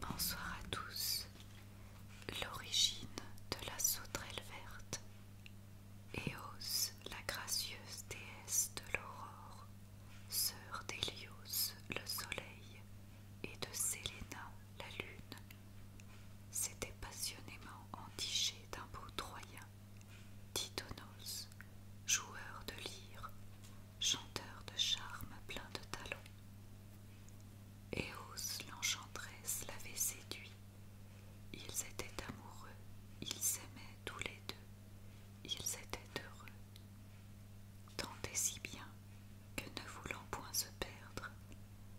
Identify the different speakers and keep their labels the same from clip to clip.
Speaker 1: Bonsoir à tous. L'origine de la sauterelle verte. Éos, la gracieuse déesse de l'aurore, sœur d'Hélios, le soleil, et de Séléna, la lune, s'était passionnément entiché d'un beau Troyen, Titonos, joueur de lyre, chanteur de charme plein de talons. Eos l'enchanteresse, l'avait séduit. Ils étaient amoureux, ils s'aimaient tous les deux, ils étaient heureux. Tant et si bien que ne voulant point se perdre,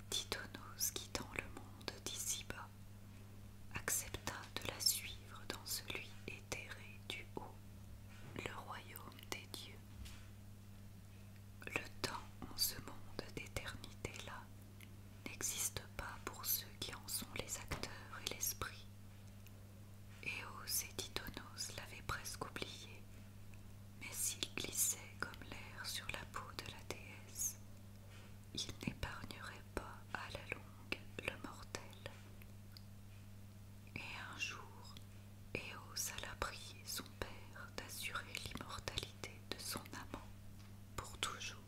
Speaker 1: Titonos quittant le monde d'ici bas, accepta de la suivre dans celui éthéré du haut, le royaume des dieux. Le temps en ce monde d'éternité-là n'existe pas pour ceux qui en sont les acteurs et l'esprit, Eos et oh, Titonos l'avaient presque oublié, mais s'il glissait comme l'air sur la peau de la déesse, il n'épargnerait pas à la longue le mortel. Et un jour, Eos alla prier son père d'assurer l'immortalité de son amant pour toujours.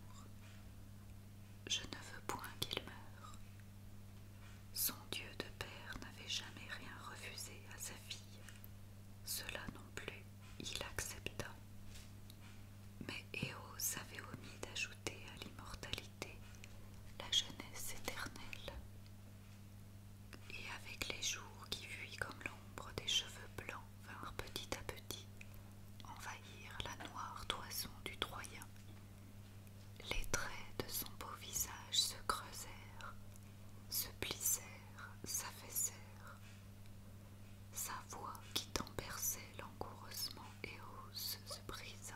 Speaker 1: Je ne veux point qu'il meure, son Dieu de père n'avait jamais rien refusé à sa fille. Cela non plus, il accepta. Mais Eos avait omis d'ajouter à l'immortalité la jeunesse éternelle. Et avec les jours qui fuient comme l'ombre des cheveux blancs vinrent petit à petit envahir la noire toison du Troyen les traits de son beau visage se creusèrent, se plissèrent, s'affaissèrent. Sa voix qui tant langoureusement et hausse se brisa.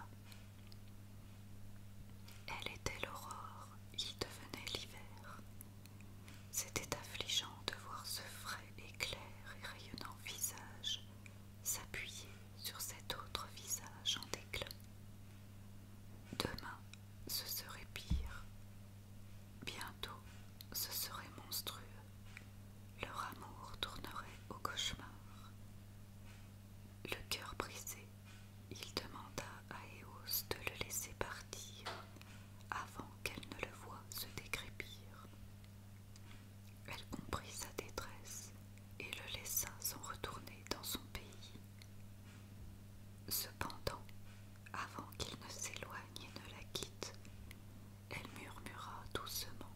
Speaker 1: Elle était l'aurore, il devenait l'hiver. C'était affligeant de voir ce frais et et rayonnant visage S'appuyer sur cet autre visage en déclin. Demain, ce serait pire. Bientôt, ce serait monstrueux. Leur amour tournerait au cauchemar. Le cœur brisé, il demanda à Eos de le laisser partir avant qu'elle ne le voie se décrépir. Elle comprit sa détresse et le laissa s'en retourner dans son pays. Cependant, avant qu'il ne s'éloigne et ne la quitte, elle murmura doucement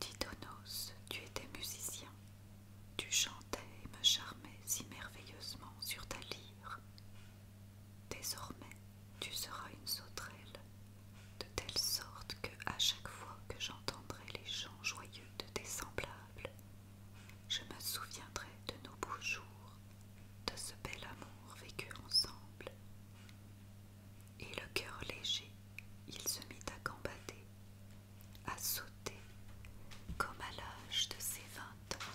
Speaker 1: Didonos, tu étais musicien, tu chantais et me charmais si merveilleusement sur ta lyre. Désormais, tu seras une sauterelle, de telle sorte que à chaque fois que j'entendrai les chants joyeux de tes semblables, je me souviendrai de nos beaux jours, de ce bel amour vécu ensemble. Et le cœur léger, il se mit à gambader, à sauter, comme à l'âge de ses vingt ans,